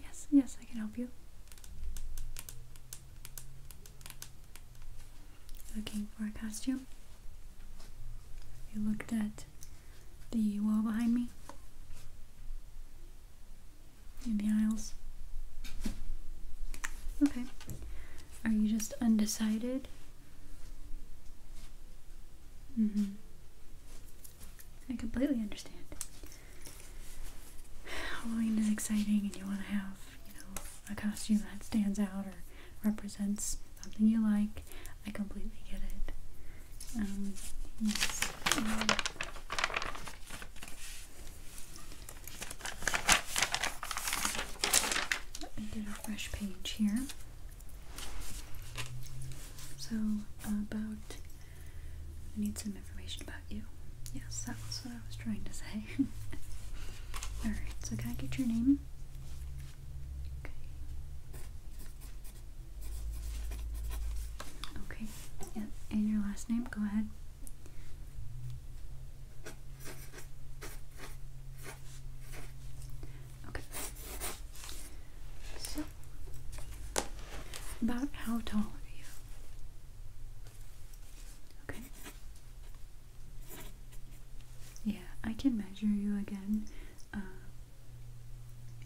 Yes, yes, I can help you. Looking for a costume? You looked at the wall behind me in the aisles. Okay. Are you just undecided? Mm-hmm. I completely understand. Halloween is exciting and you want to have, you know, a costume that stands out or represents something you like. I completely get it. Um, yes. Um, a fresh page here. So, about. I need some information about you. Yes, that was what I was trying to say. Alright, so can I get your name? Okay. Yeah. And your last name? Go ahead. Okay. So, about how tall are you? Okay. Yeah, I can measure you again, uh,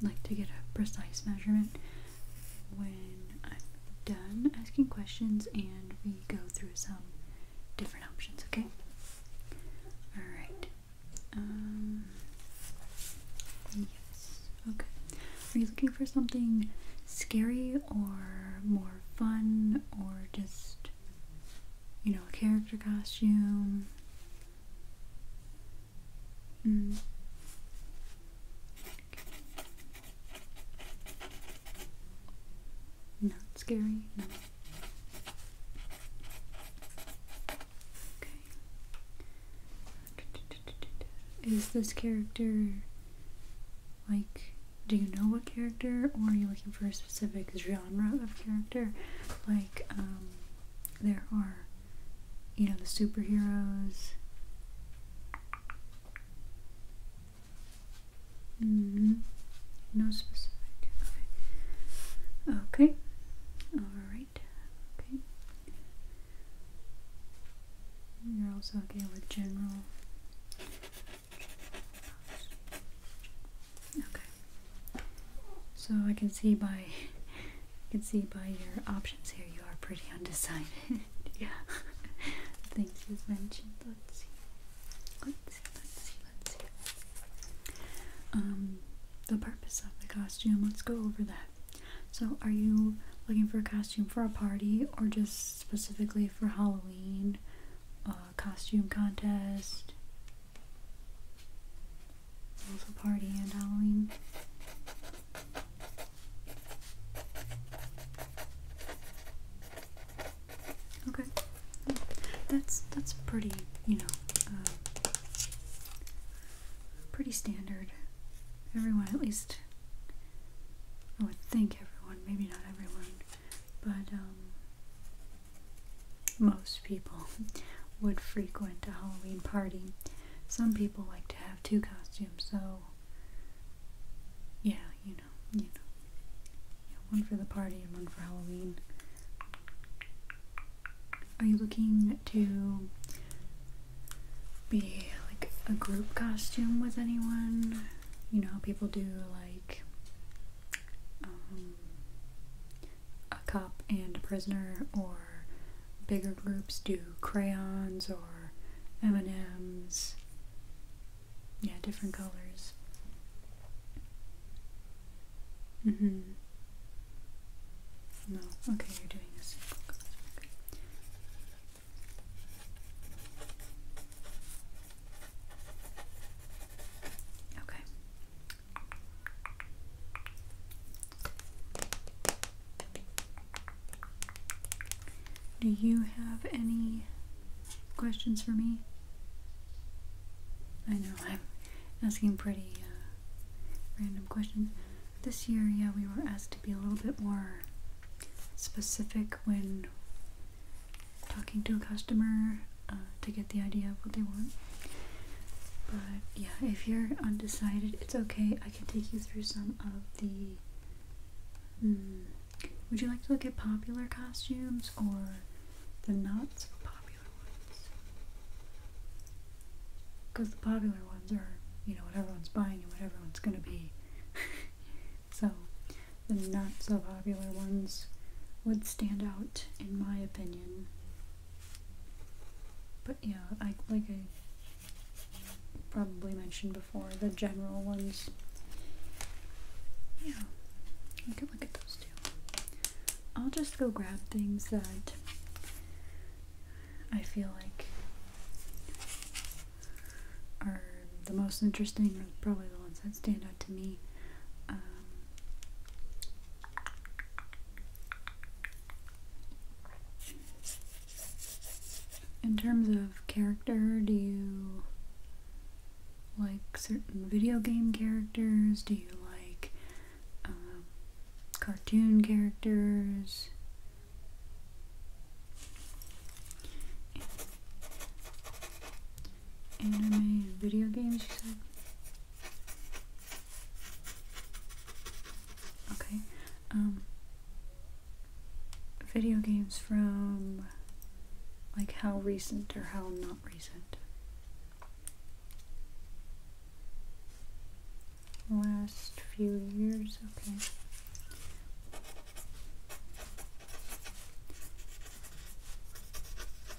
like to get a precise measurement when I'm done asking questions and we go through some different options, okay? Alright. Um, yes, okay. Are you looking for something scary or more fun or just you know, a character costume. Mm. Not scary. No. Okay. Is this character like? Do you know what character, or are you looking for a specific genre of character. Like, um, there are, you know, the superheroes. Mm-hmm. No specific. Okay. Okay. Alright. Okay. You're also okay with general. Okay. So I can see by can see by your options here you are pretty undecided. yeah. Things you've mentioned. Let's see. Let's see, let's see, let's see. Um the purpose of the costume, let's go over that. So are you looking for a costume for a party or just specifically for Halloween? Uh, costume contest, also party and Halloween. Okay, that's that's pretty, you know, um, pretty standard. Everyone, at least, I would think everyone, maybe not everyone, but um, most people would frequent a Halloween party. Some people like to have two costumes, so yeah, you know, you know. one for the party and one for Halloween. Are you looking to be like a group costume with anyone? You know, people do like um, a cop and a prisoner, or bigger groups do crayons or M&Ms. Yeah, different colors. Mm-hmm. No, okay, you're doing this. Okay. okay, do you have any questions for me? I know I'm asking pretty uh, random questions. This year, yeah, we were asked to be a little bit more specific when talking to a customer uh, to get the idea of what they want. But yeah, if you're undecided, it's okay. I can take you through some of the. Hmm, would you like to look at popular costumes or the not popular ones? Because the popular ones are, you know, what everyone's buying and what everyone's gonna be. so, the not so popular ones would stand out, in my opinion. But yeah, I like I probably mentioned before the general ones. Yeah, we can look at those two. I'll just go grab things that I feel like are the most interesting, or probably the ones that stand out to me. Um, in terms of character, do you like certain video game characters? Do you like um, cartoon characters? Anime video games, you said? Okay. Um, video games from like how recent or how not recent? Last few years, okay.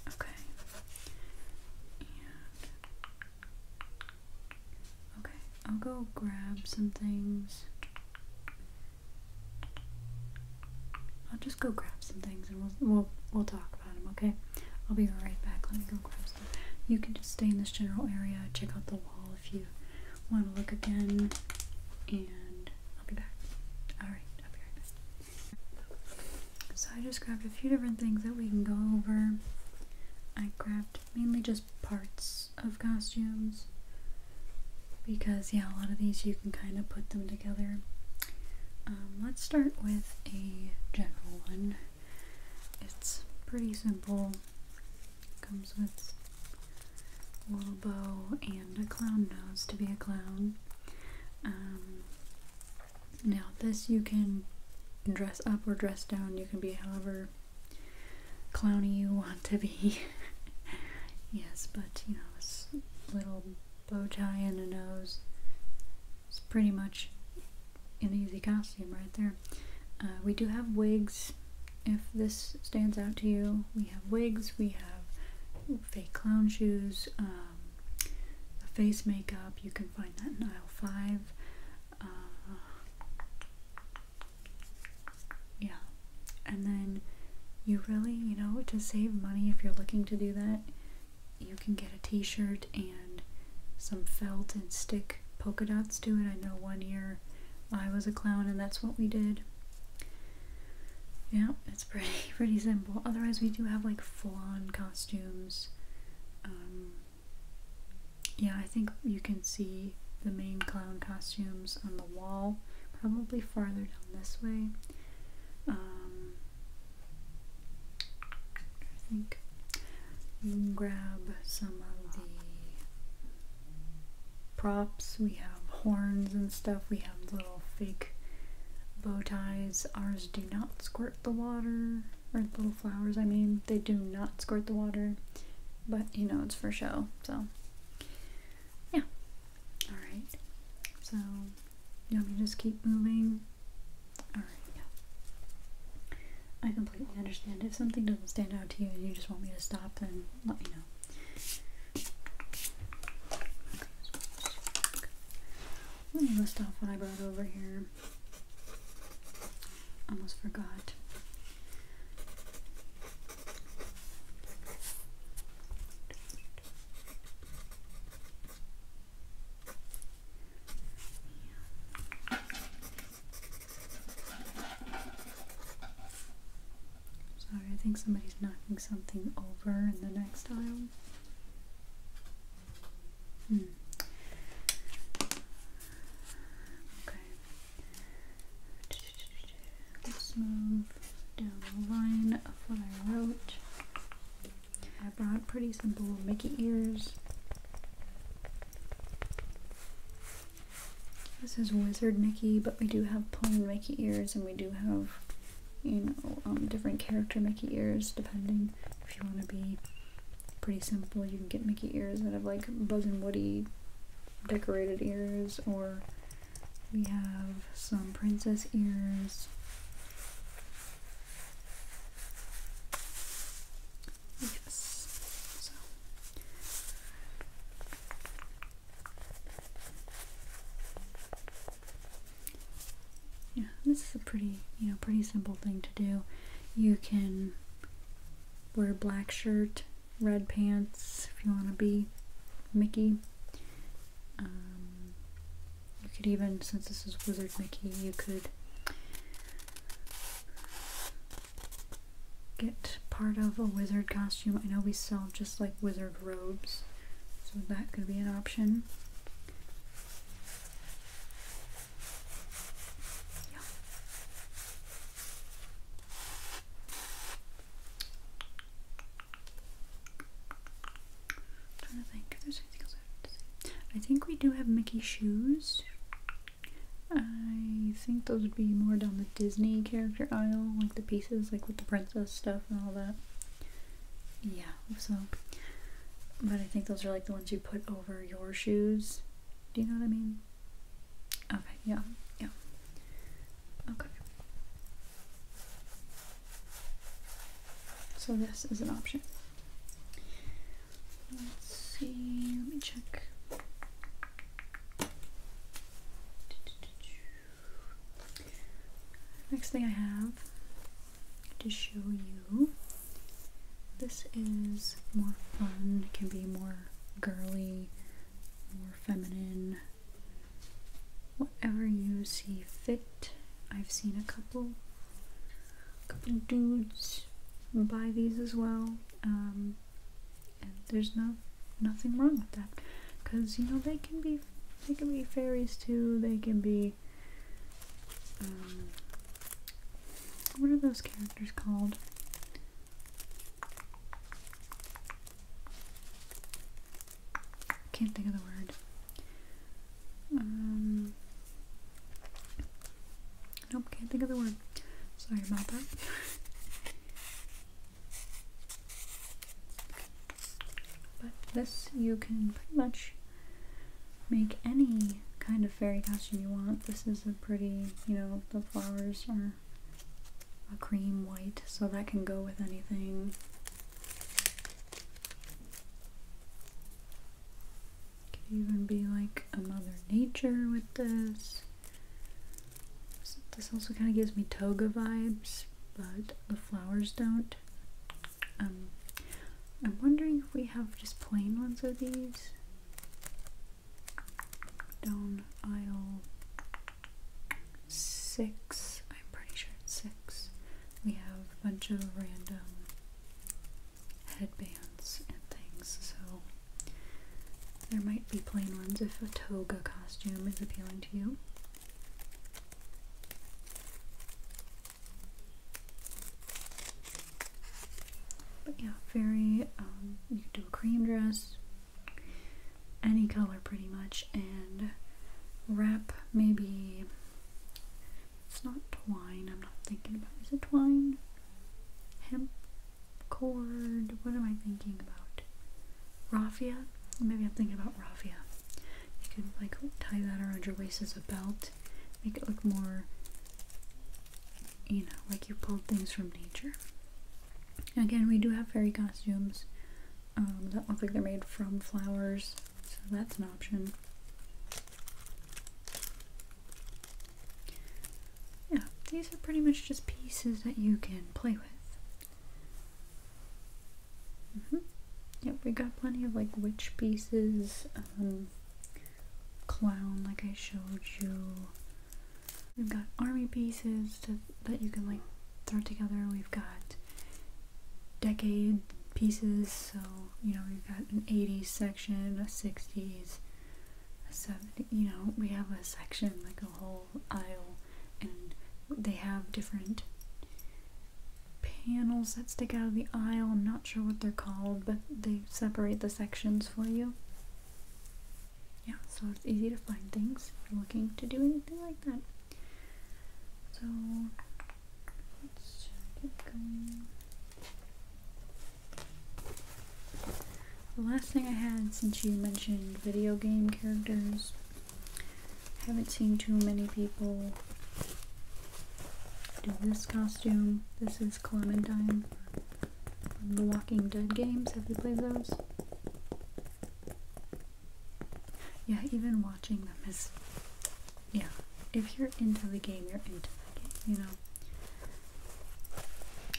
Okay. okay, I'll go grab some things. I'll just go grab some things and we'll we'll we'll talk about them. Okay. I'll be right back. Let me go grab some. You can just stay in this general area. Check out the wall if you want to look again. And I'll be back. Alright, I'll be right back. So I just grabbed a few different things that we can go over. I grabbed mainly just parts of costumes because yeah, a lot of these you can kind of put them together. Um, let's start with a general one. It's pretty simple. Comes with a little bow and a clown nose to be a clown. Um, now this you can dress up or dress down. You can be however clowny you want to be. yes, but you know, this little bow tie and a nose. is pretty much an easy costume right there. Uh, we do have wigs. If this stands out to you, we have wigs. We have fake clown shoes. Uh, the um, face makeup. You can find that in aisle five. Uh, yeah, and then you really, you know, to save money if you're looking to do that, you can get a T-shirt and some felt and stick polka dots to it. I know one year I was a clown, and that's what we did. Yeah, it's pretty pretty simple. Otherwise, we do have like full costumes. Um, yeah, I think you can see the main clown costumes on the wall, probably farther down this way. Um, I think grab some of the props. We have horns and stuff. We have little fake bow ties. Ours not squirt the water, or little flowers, I mean, they do not squirt the water, but you know, it's for show, so yeah. Alright, so you want me to just keep moving? Alright, I completely understand. If something doesn't stand out to you and you just want me to stop, then let me know. Let me list off what I brought over here. Almost forgot. Sorry, I think somebody's knocking something over in the next aisle. Hmm. Okay. Let's move down the line of what I wrote. I brought pretty simple Mickey ears. This is Wizard Mickey, but we do have plain Mickey ears and we do have you know, um, different character Mickey ears, depending if you want to be pretty simple. You can get Mickey ears that have like Buzz and Woody decorated ears, or we have some princess ears. Yes yeah, this is a pretty, you know, pretty simple thing to do. You can wear black shirt, red pants if you want to be Mickey. Um, you could even, since this is Wizard Mickey, you could get part of a wizard costume. I know we sell just like wizard robes, so that could be an option. I think we do have Mickey shoes. I think those would be more down the Disney character aisle, like the pieces, like with the princess stuff and all that yeah so but i think those are like the ones you put over your shoes do you know what i mean okay yeah yeah okay so this is an option let's see let me check next thing i have to show you. This is more fun, it can be more girly, more feminine, whatever you see fit. I've seen a couple, a couple dudes buy these as well, um, and there's no nothing wrong with that, because you know they can be they can be fairies too. They can be um, what are those characters called? Can't think of the word. Um, nope, can't think of the word. Sorry about But this, you can pretty much make any kind of fairy costume you want. This is a pretty, you know, the flowers are a cream white, so that can go with anything. Could even be like a Mother Nature with this. This also kind of gives me toga vibes, but the flowers don't. Um, I'm wondering if we have just plain ones of these. Down aisle six. I'm pretty sure it's six. We have a bunch of random headbands and things, so there might be plain ones if a toga costume is appealing to you. But yeah, very, um, you can do a cream dress, any color pretty much, and wrap maybe, it's not twine, I'm not thinking about, is it twine? Hemp cord, what am I thinking about? Raffia? Maybe I'm thinking about raffia. You could like tie that around your waist as a belt, make it look more, you know, like you pulled things from nature. Again, we do have fairy costumes um, that look like they're made from flowers, so that's an option. Yeah, these are pretty much just pieces that you can play with. Mm -hmm. Yep, we got plenty of like witch pieces, um, clown, like I showed you. We've got army pieces to, that you can like throw together. We've got decade pieces, so you know, we've got an 80s section, a 60s, a 70s, you know, we have a section, like a whole aisle, and they have different panels that stick out of the aisle. I'm not sure what they're called, but they separate the sections for you. Yeah, so it's easy to find things if you're looking to do anything like that. So let's keep going. The last thing I had since you mentioned video game characters I haven't seen too many people do this costume. This is Clementine from the Walking Dead games. Have you played those? Yeah, even watching them is. Yeah. If you're into the game, you're into the game, you know.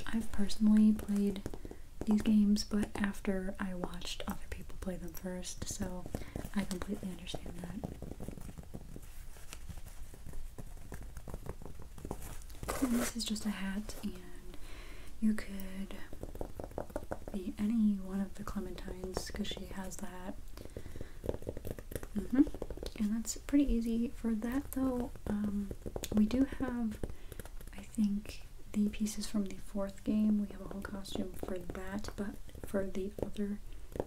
I've personally played these games, but after I watched other people play them first, so I completely and this is just a hat, and you could be any one of the Clementines because she has that. Mm-hmm. And that's pretty easy. For that, though, um, we do have, I think, the pieces from the fourth game, we have a whole costume for that, but for the other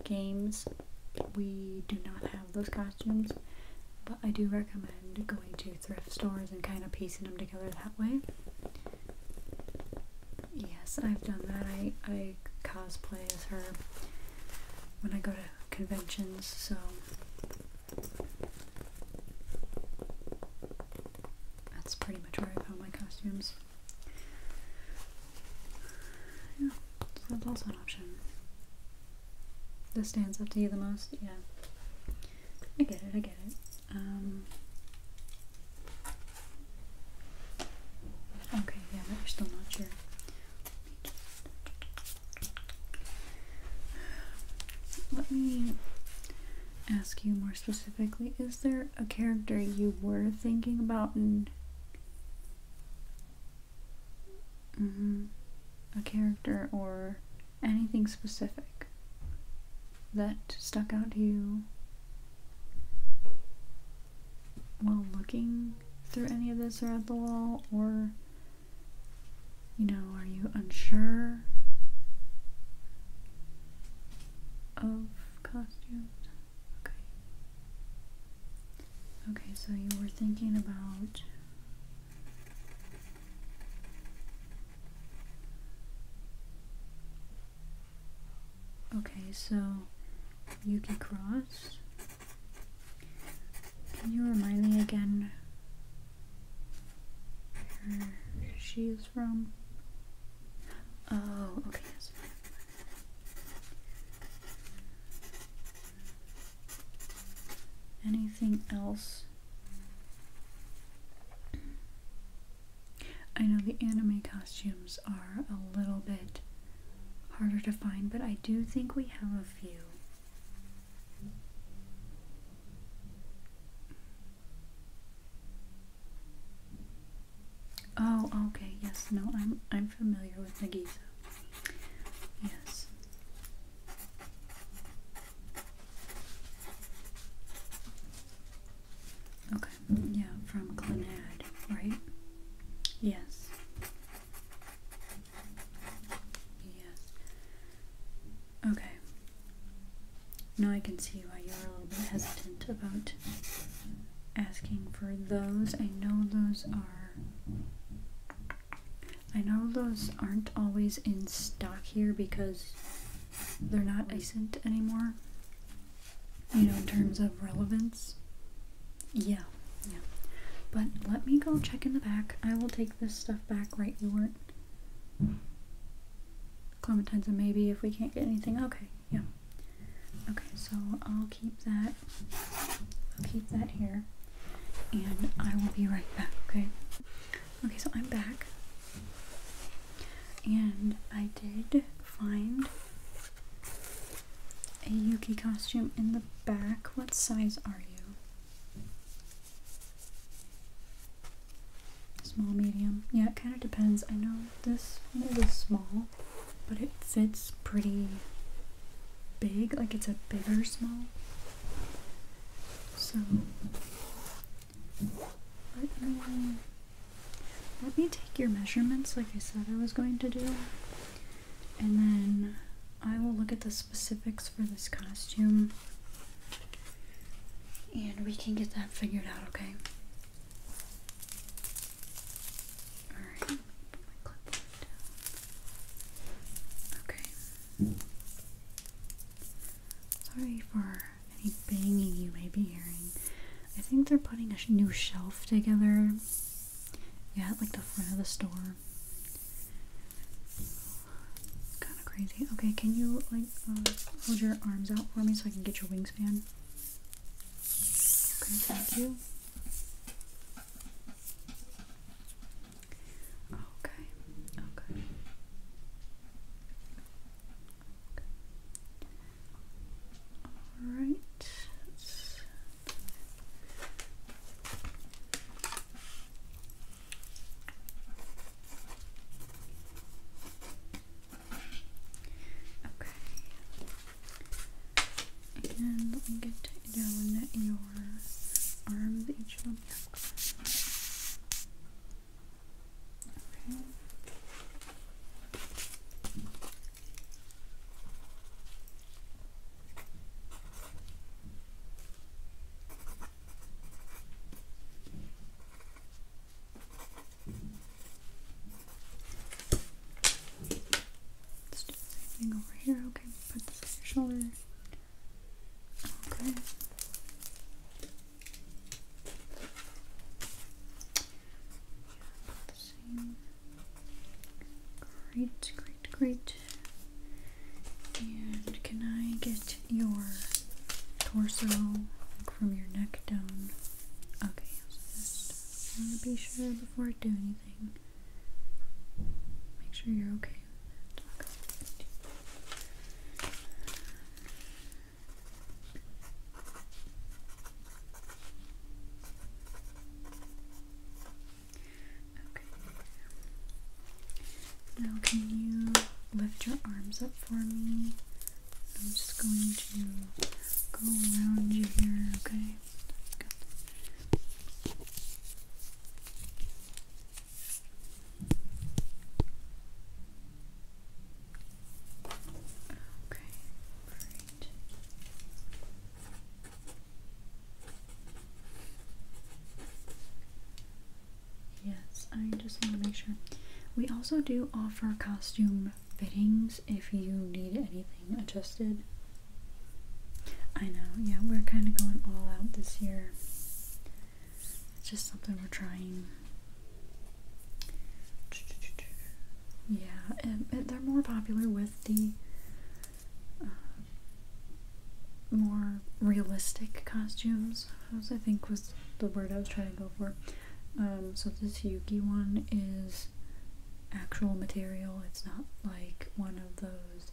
games, we do not have those costumes. But I do recommend going to thrift stores and kind of piecing them together that way. Yes, I've done that. I, I cosplay as her when I go to conventions, so that's pretty much where I found my costumes. Yeah, that's also an option. This stands up to you the most, yeah. I get it, I get it. Um, okay, yeah, but you're still not sure. Let me ask you more specifically, is there a character you were thinking about and mm-hmm. a character or anything specific that stuck out to you while looking through any of this or the wall or you know are you unsure of costumes Okay. Okay, so you were thinking about Okay, so Yuki Cross. Can you remind me again where she is from? Oh, okay, Anything else? I know the anime costumes are a little bit harder to find, but I do think we have a few. Oh, okay. Yes. No, I'm I'm familiar with Nagisa. Yes. Okay. Yeah, from Clannad, right? Yes. Yes. Okay. Now I can see why you were a little bit hesitant about asking for those. I know those are. I know those aren't always in stock here because they're not recent anymore. You know, in terms of relevance. Yeah, yeah. But let me go check in the back. I will take this stuff back, right? You weren't. Clementines and maybe if we can't get anything. Okay, yeah. Okay, so I'll keep that. I'll keep that here. And I will be right back, okay? Okay, so I'm back. And I did find a Yuki costume in the back. What size are you? Small, medium. Yeah, it kind of depends. I know this one is small but it fits pretty big, like it's a bigger small. So let me let me take your measurements like I said I was going to do. And then I will look at the specifics for this costume. And we can get that figured out, okay? Alright, Okay. Sorry for any banging you may be hearing. I think they're putting a new shelf together. Yeah, like the front of the store. kind of crazy. Okay, can you like uh, hold your arms out for me so I can get your wingspan? Okay, thank you. Okay, okay. Alright. Okay. And let me get down your arms each one. Okay let over here. Okay, put this on your shoulder. Okay. same. Great, great, great. And can I get your torso from your neck down? Okay, I want to be sure before I do anything. Make sure you're okay with it. Okay. Now, can you lift your arms up for me? I'm just going to go around you here, okay? Okay, great. Yes, I just want to make sure. We also do offer costume fittings if you need anything adjusted. I know, yeah, we're kind of going all out this year. It's just something we're trying. Yeah, and, they're more popular with the uh, more realistic costumes. I think was the word I was trying to go for. Um, so this Yuki one is actual material. It's not like one of those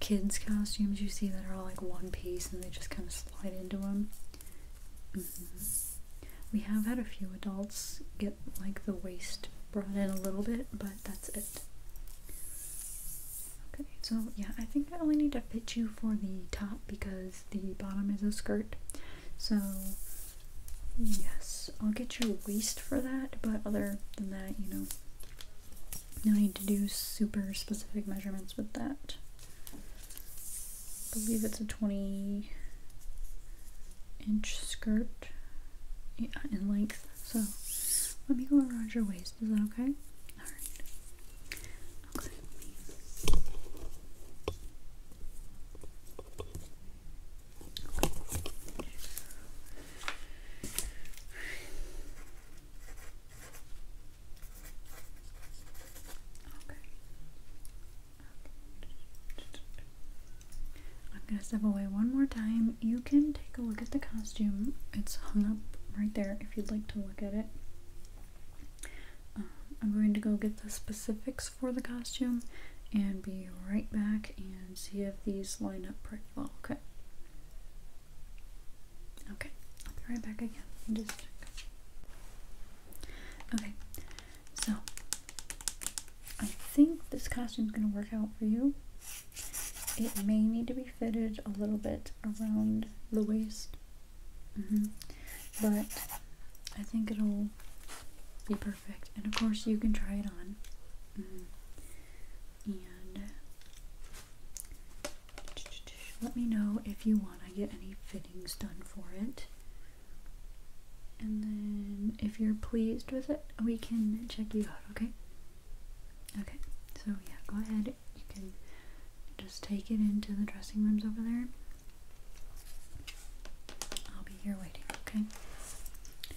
kids costumes you see that are all like one piece and they just kind of slide into them. Mm-hmm. We have had a few adults get like the waist brought in a little bit, but that's it. Okay, so yeah, I think I only need to fit you for the top because the bottom is a skirt. So Yes, I'll get your waist for that, but other than that, you know, no need to do super specific measurements with that. I believe it's a 20 inch skirt in length, so let me go around your waist, is that okay? Alright. Okay. I'm gonna step away one more time. You can take a look at the costume. It's hung up right there if you'd like to look at it. Um, I'm going to go get the specifics for the costume and be right back and see if these line up pretty well, okay? Okay, I'll be right back again. Just Okay, so I think this costume's gonna work out for you. It may need to be fitted a little bit around the waist, mm-hmm, but I think it'll be perfect. And of course, you can try it on. Mm-hmm. And uh, let me know if you want to get any fittings done for it. And then, if you're pleased with it, we can check you out, okay? Okay, so yeah, go ahead. You can just take it into the dressing rooms over there I'll be here waiting, okay? Good.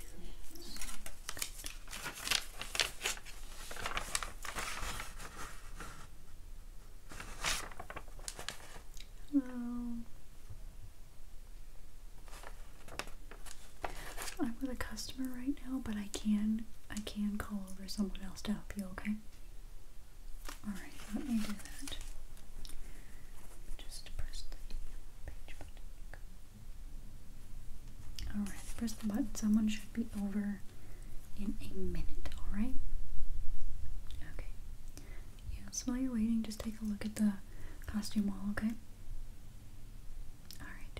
I'm with a customer right now, but I can I can call over someone else to help you, okay? let me do that. Just press the page button. Alright, press the button. Someone should be over in a minute, alright? Okay. Yes, while you're waiting, just take a look at the costume wall, okay? Alright.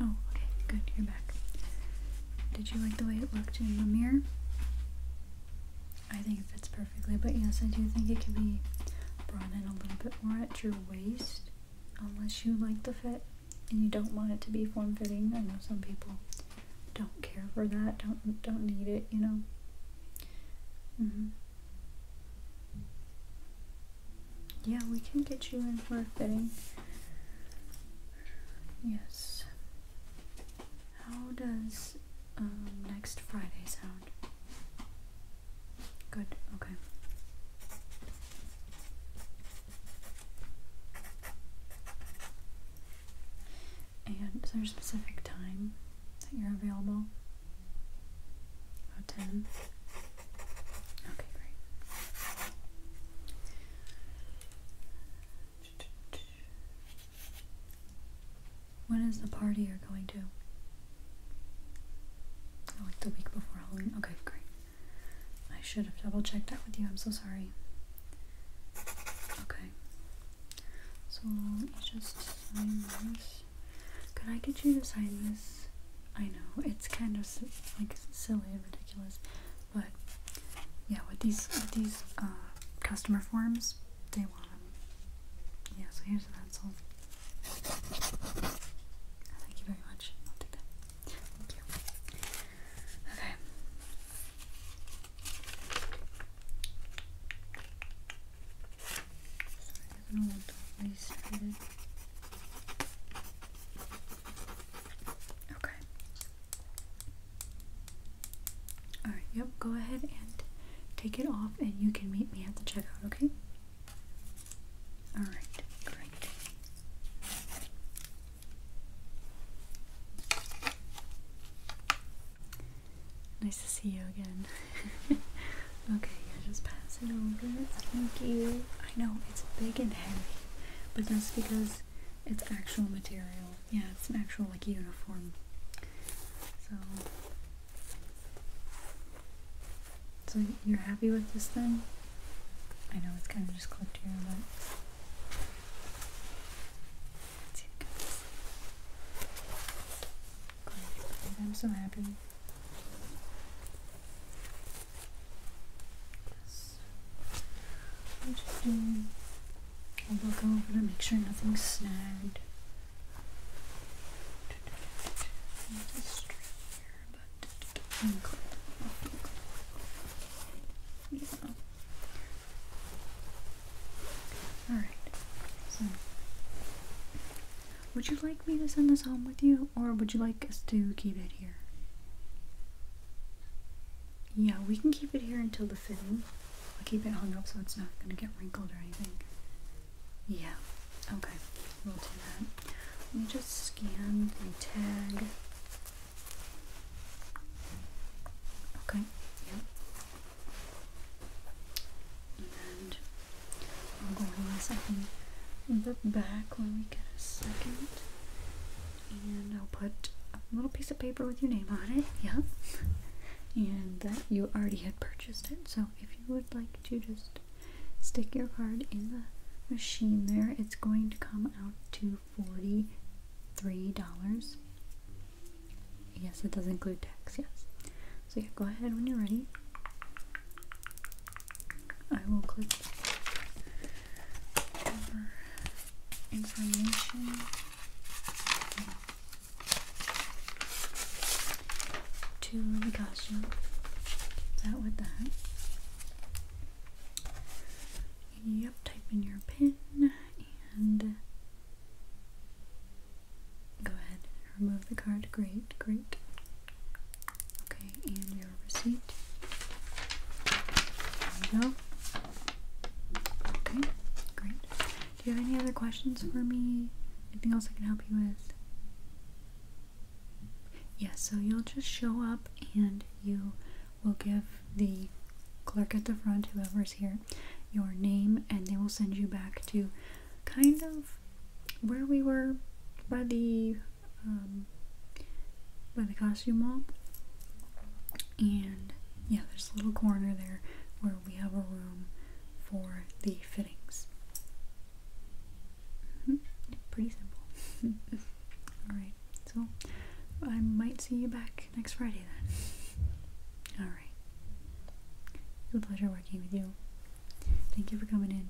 Oh, okay, good, you're back. Did you like the way it looked in the mirror? I think it fits perfectly, but yes, I do think it could be brought in a little bit more at your waist, unless you like the fit and you don't want it to be form-fitting. I know some people don't care for that, don't don't need it, you know. hmm Yeah, we can get you in for a fitting. Yes. How does um, next Friday sound? Good, okay. And is there a specific time that you're available? About 10? Okay, great. When is the party you're going to? Oh, like the week before Halloween. Okay, great. I should have double checked that with you. I'm so sorry. Okay. So let just sign this. Could I get you to sign this? I know, it's kind of like silly and but yeah, with these these uh, customer forms, they want Yeah, so here's an insult. Thank you very much. I'll take that. Thank you. Okay. Okay. Alright, yep, go ahead and take it off and you can meet me at the checkout, okay? Alright, great. Nice to see you again. okay, yeah, just pass it over. Thank you. I know it's big and heavy, but that's because it's actual material. Yeah, it's actual like uniform. So So you're happy with this then? I know it's kind of just clipped here, but I'm so happy. I'm just doing a go over to make sure nothing's snagged. Just here, but Alright. So would you like me to send this home with you or would you like us to keep it here? Yeah, we can keep it here until the fitting. I'll keep it hung up so it's not going to get wrinkled or anything. Yeah, okay, we'll do that. Let me just scan the tag. Okay, yep. And I'll go in a second. The back when we get a second and I'll put a little piece of paper with your name on it. Yeah. And that you already had purchased it. So if you would like to just stick your card in the machine there, it's going to come out to $43. Yes, it does include tax, yes. So yeah, go ahead when you're ready. I will click information. To the costume. Keep that with that. Yep, type in your pin and go ahead remove the card. Great, great. Okay, receipt. There Okay, great. Do you have any other questions for me? Anything else I can help you with? Yes, so you'll just show up and you will give the clerk at the front, whoever's here, your name, and they will send you back to kind of where we were by the um, by the costume mall, And yeah, there's a little corner there where we have a room for the fittings. Mm-hmm. Pretty simple. Alright, so I might see you back next Friday then. Alright. It was a pleasure working with you. Thank you for coming in.